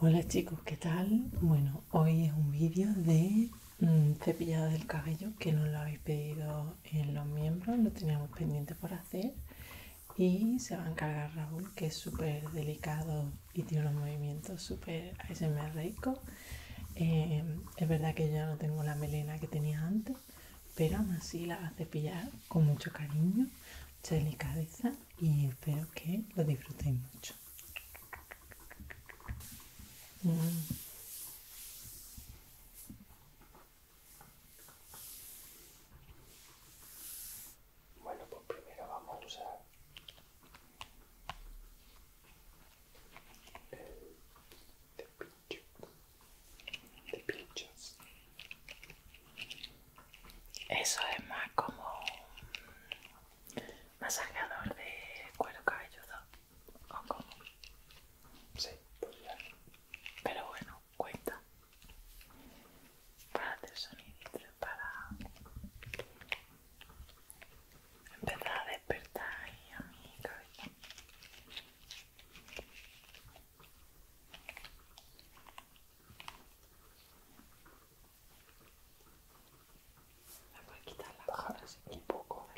Hola chicos, ¿qué tal? Bueno, hoy es un vídeo de mm, cepillado del cabello que nos lo habéis pedido en los miembros, lo teníamos pendiente por hacer y se va a encargar Raúl, que es súper delicado y tiene unos movimientos súper ASMR rico. Eh, es verdad que ya no tengo la melena que tenía antes, pero aún así la vas a cepillar con mucho cariño, mucha delicadeza y espero que lo disfrutéis mucho. Bueno, pues primero vamos a usar el cepillo de pinchos. Eso es más como masajeador de cuero cabelludo. ¿O como? Sí, pues Pero bueno, cuenta. Para hacer sonido para empezar a despertar ahí a mi cabeza. Me voy a quitar las hojas un poco,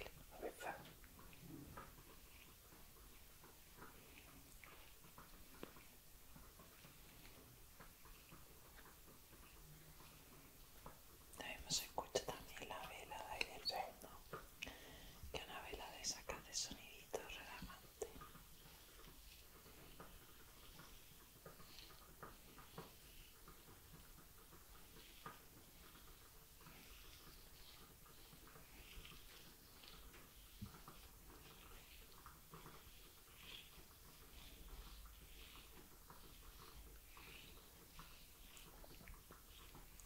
también escuchar escucha también la vela de del que una vela de saca de sonidito relajante.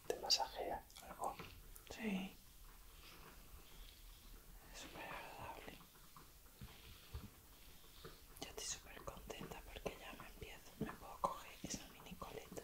¿Te masajea algo? Sí. Es súper agradable. Yo estoy súper contenta porque ya me empiezo, me puedo coger esa mini coleta.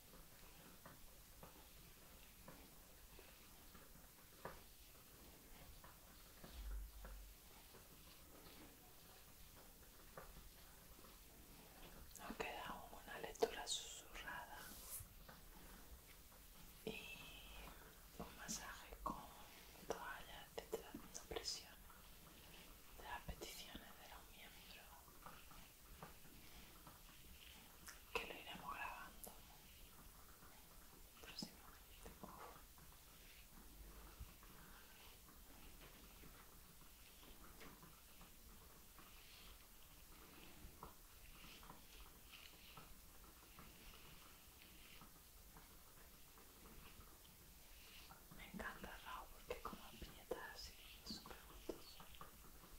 No queda una lectura susurrada y un masaje con toallas de presión de las peticiones de los miembros que lo iremos grabando próximamente. Me encanta Raúl porque como las así es súper preguntas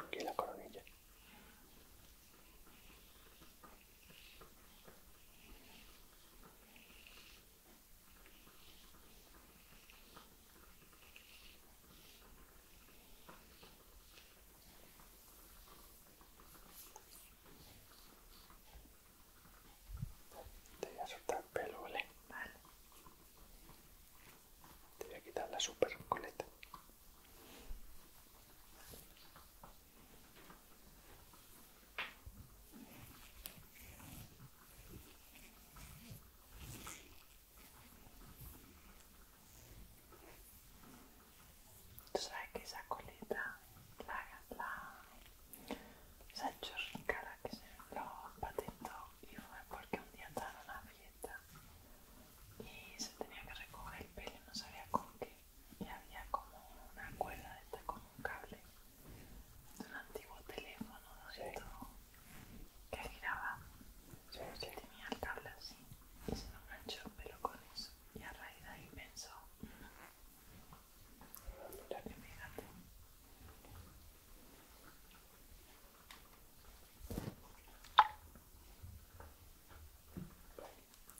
Aquí la coronilla. Te voy a soltar pelo, ¿vale? Vale. Te voy a quitar la super coleta. Tú sabes que esa coleta, la, la, esa cara, que se lo patito y fue porque un día estaba en una fiesta y se tenía que recoger el pelo y no sabía con qué y había como una cuerda esta con un cable Es un antiguo teléfono ¿no que giraba sí, tenía el cable así y se lo enganchó pero con eso y a raíz de ahí pensó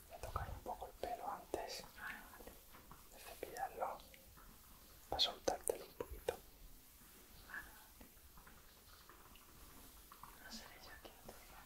voy a tocar un poco el pelo antes de cepillarlo para soltártelo un poquito. Vale, vale. No seré yo quien te diga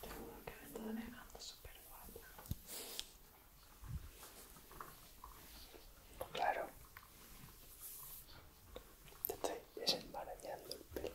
Seguro que me negando súper Claro. Te estoy desembarañando el pelo.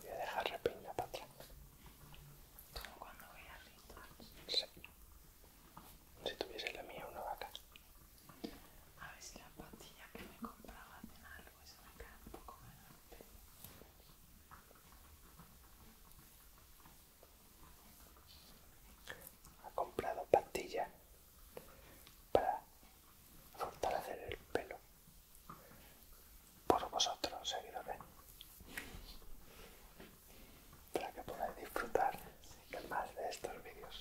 Voy a dejar la peina para atrás. Como cuando voy a ritual. Sí. Si tuviese la mía una vaca. A ver si las pastillas que me compraba hacen algo eso se me queda un poco menos Ha comprado pastillas para fortalecer el pelo por vosotros seguidores para que podáis disfrutar más de estos vídeos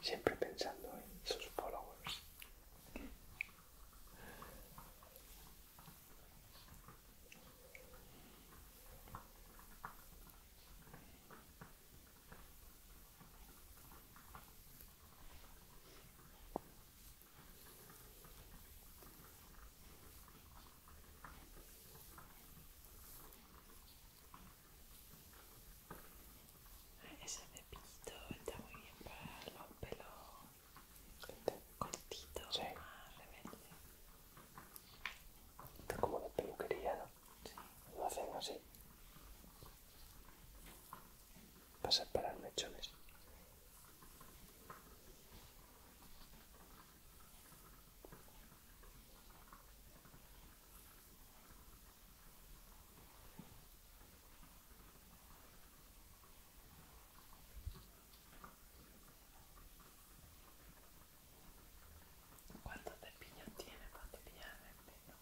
siempre pensando en sus followers ese cepillito está muy bien para los pelos cortito, sí. Está como la peluquería, ¿no? Lo hacen así. Para el mechones. ¿Cuántos te tienes tiene cuánto el pelo?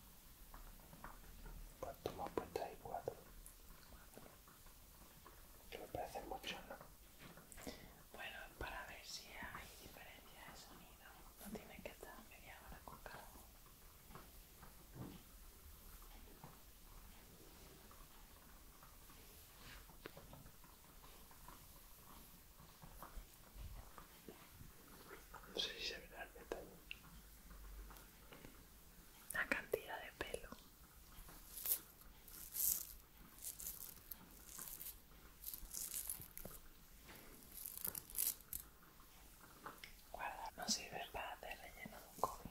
cuatro más me has cuatro. Que me parece mucho, ¿no? Bueno, para ver si hay diferencia de sonido. No tiene que estar media hora con cada no sé si se verá el La cantidad de pelo. Guarda, no sirve para hacer relleno de un cobre.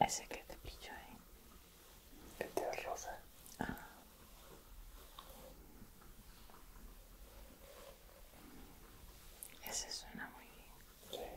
Ese que te pillo ahí. El de rosa. Ah. Ese suena muy bien.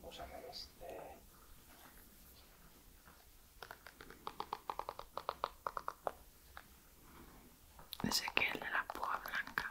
Vamos a ver este. que de la púa blanca.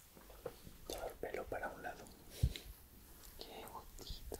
todo el pelo para un lado. Qué botito.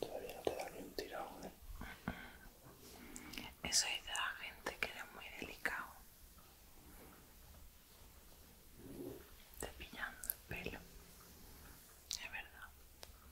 Todavía no te da ni un tirado, ¿eh? Eso es de la gente que era muy delicado. Te pillando el pelo. Es verdad.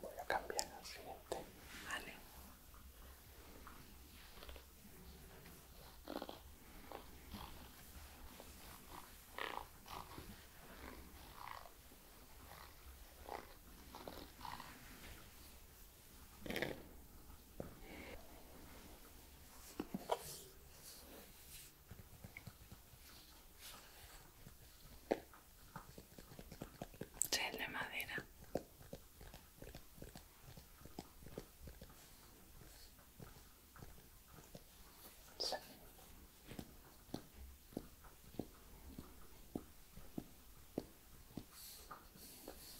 Voy a cambiar al siguiente. Vale. Gel de madera.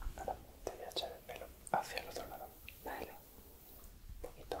Ahora te voy a echar el pelo hacia el otro lado. Dale. Poquito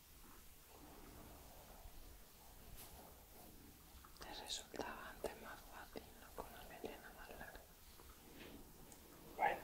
Te resultaba antes más fácil, ¿no? Con la melena más larga. Bueno.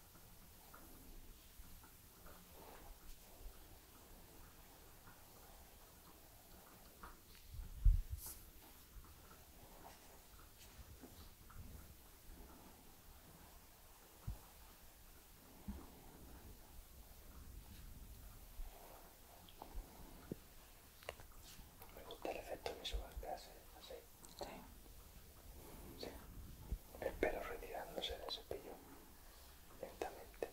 Me gusta el efecto visual que hace Sí. Sí. El pelo retirándose del cepillo lentamente.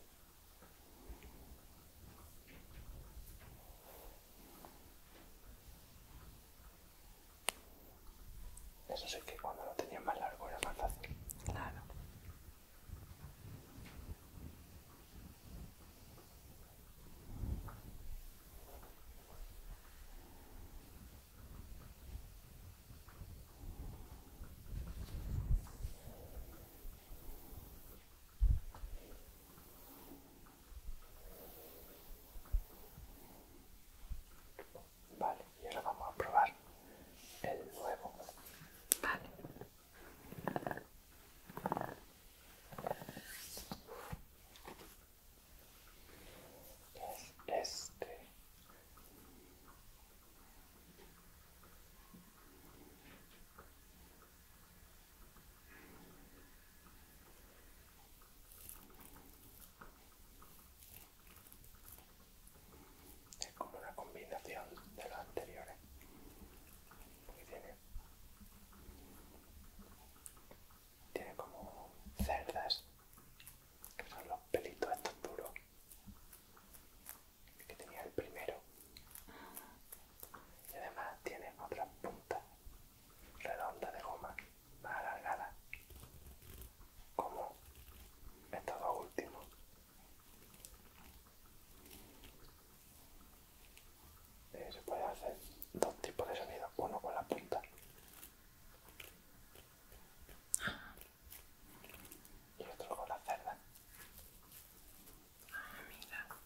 Eso sí que cuando lo tenía más largo era más fácil. Claro. Vale, y ahora vamos a probar el nuevo. Vale es este es como una combinación de los anteriores ¿eh? tiene como cerdas, que son los pelitos estos duros, que tenía el primero. Y además tiene otras puntas redonda de goma, más alargada, como estos dos últimos. Eh, se puede hacer dos tipos de sonidos, uno con la punta y otro con la cerda. Ah, mira.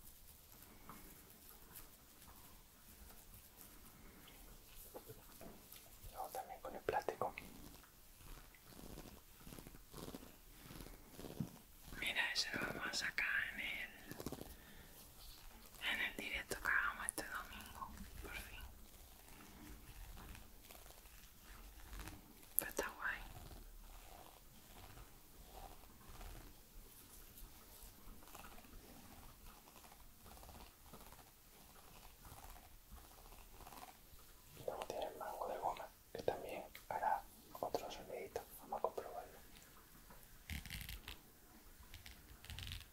Luego también con el plástico. Mira, eso lo vamos a sacar en el en el directo que hagamos este domingo, por fin. está guay. Luego tiene el mango de goma, que también hará otro sonidito. Vamos a comprobarlo.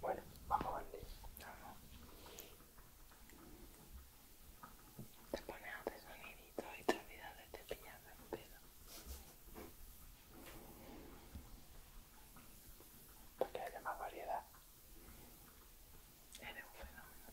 Bueno, vamos a Vamos. Te pones a hacer soniditos y te olvidas de cepillar el pelo. Para que haya más variedad. Eres un fenómeno.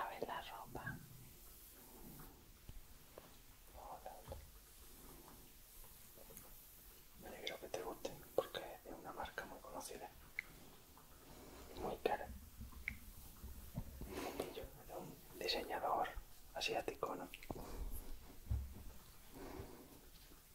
A ver la ropa. Me alegro que te guste porque es una marca muy conocida muy cara. de un diseñador asiático, ¿no?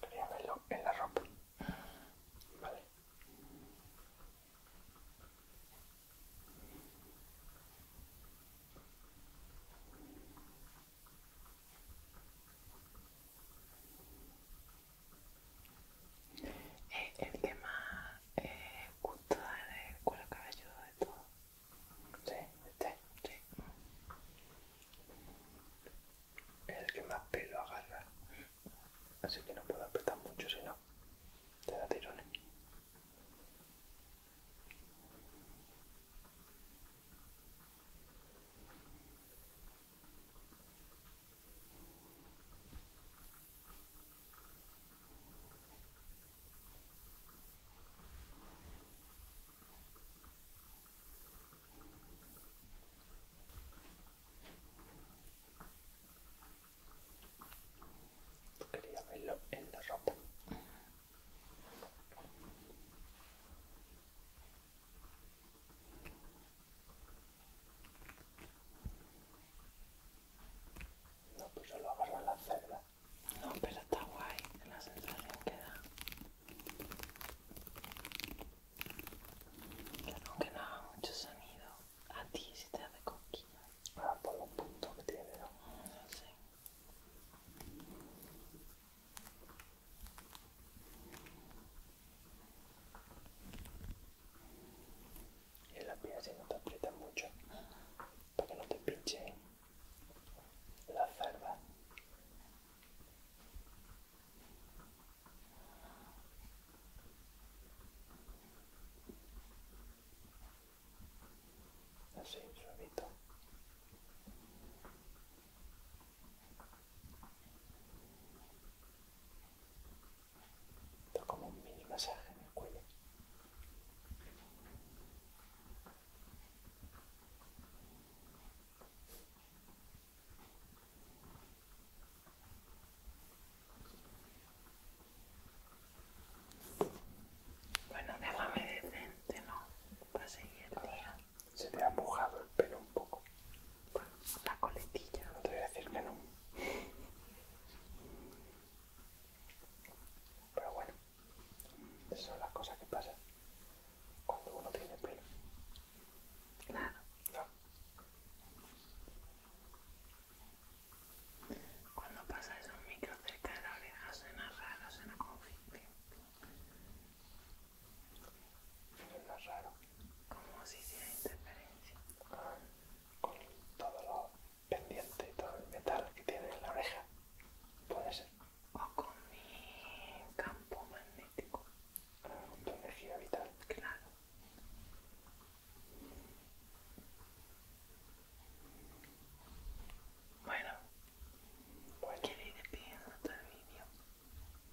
Quería verlo en la ropa. Vale es eh, el que más eh, gusto da el cuero de todo. Sí, este, sí. El que más pelo agarra. Mm así que no puedo apretar mucho si no te da tirones. Quería verlo en la ropa. No, pues solo agarra la celda. No, pero está guay la sensación que da aunque no haga mucho sonido. A ti si te hace coquilla. Ah, por los puntos que tiene, ¿no? Mm, no sé. Y en la piel si no te aprietas mucho, para que no te pinche la cerdas. Así, suavito. da como un mini masaje en el cuello. Bueno, déjame decente, ¿no? Para seguir Se te ha mojado el pelo un poco. La coletilla. No te voy a decir que no. Pero bueno, son las cosas que pasan cuando uno tiene pelo. Claro. Cuando pasas un micro cerca de la oreja suena raro, suena como Suena raro. Como si hiciera interferencia. con todo lo pendiente y todo el metal que tiene en la oreja. Puede ser. O con mi campo magnético. con ah, tu energía vital. Claro. Bueno, pues ¿Quieres ir todo el vídeo?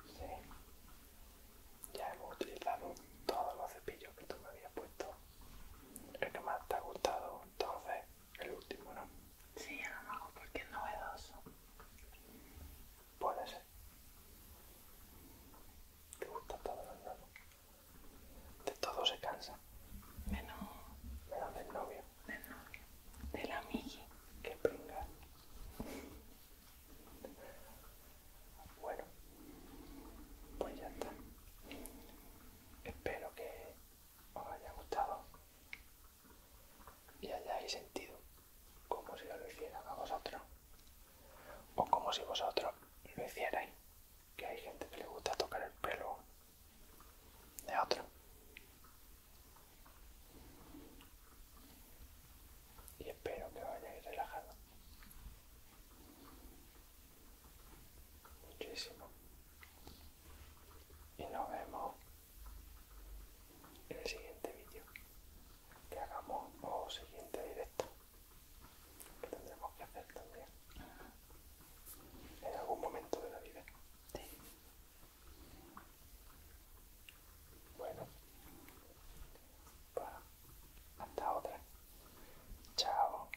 Sí. Ya hemos utilizado todos los cepillos que tú me habías puesto. El que más te ha gustado, entonces, el último, ¿no? Sí, a lo mejor porque es novedoso. Puede ser. Te gusta todo lo nuevo. De todo se cansa. Menos. Menos del novio. Del novio. Del amigo Que pringa. Bueno. Pues ya está. Espero que os haya gustado y hayáis sentido como si yo lo hiciera a vosotros o como si vosotros lo hicierais que hay gente que le gusta tocar el pelo de otro y espero que vayáis relajado muchísimo y nos vemos en el siguiente vídeo que hagamos o siguiente directo que tendremos que hacer también en algún momento de la vida. Bueno, pues hasta otra. Chao.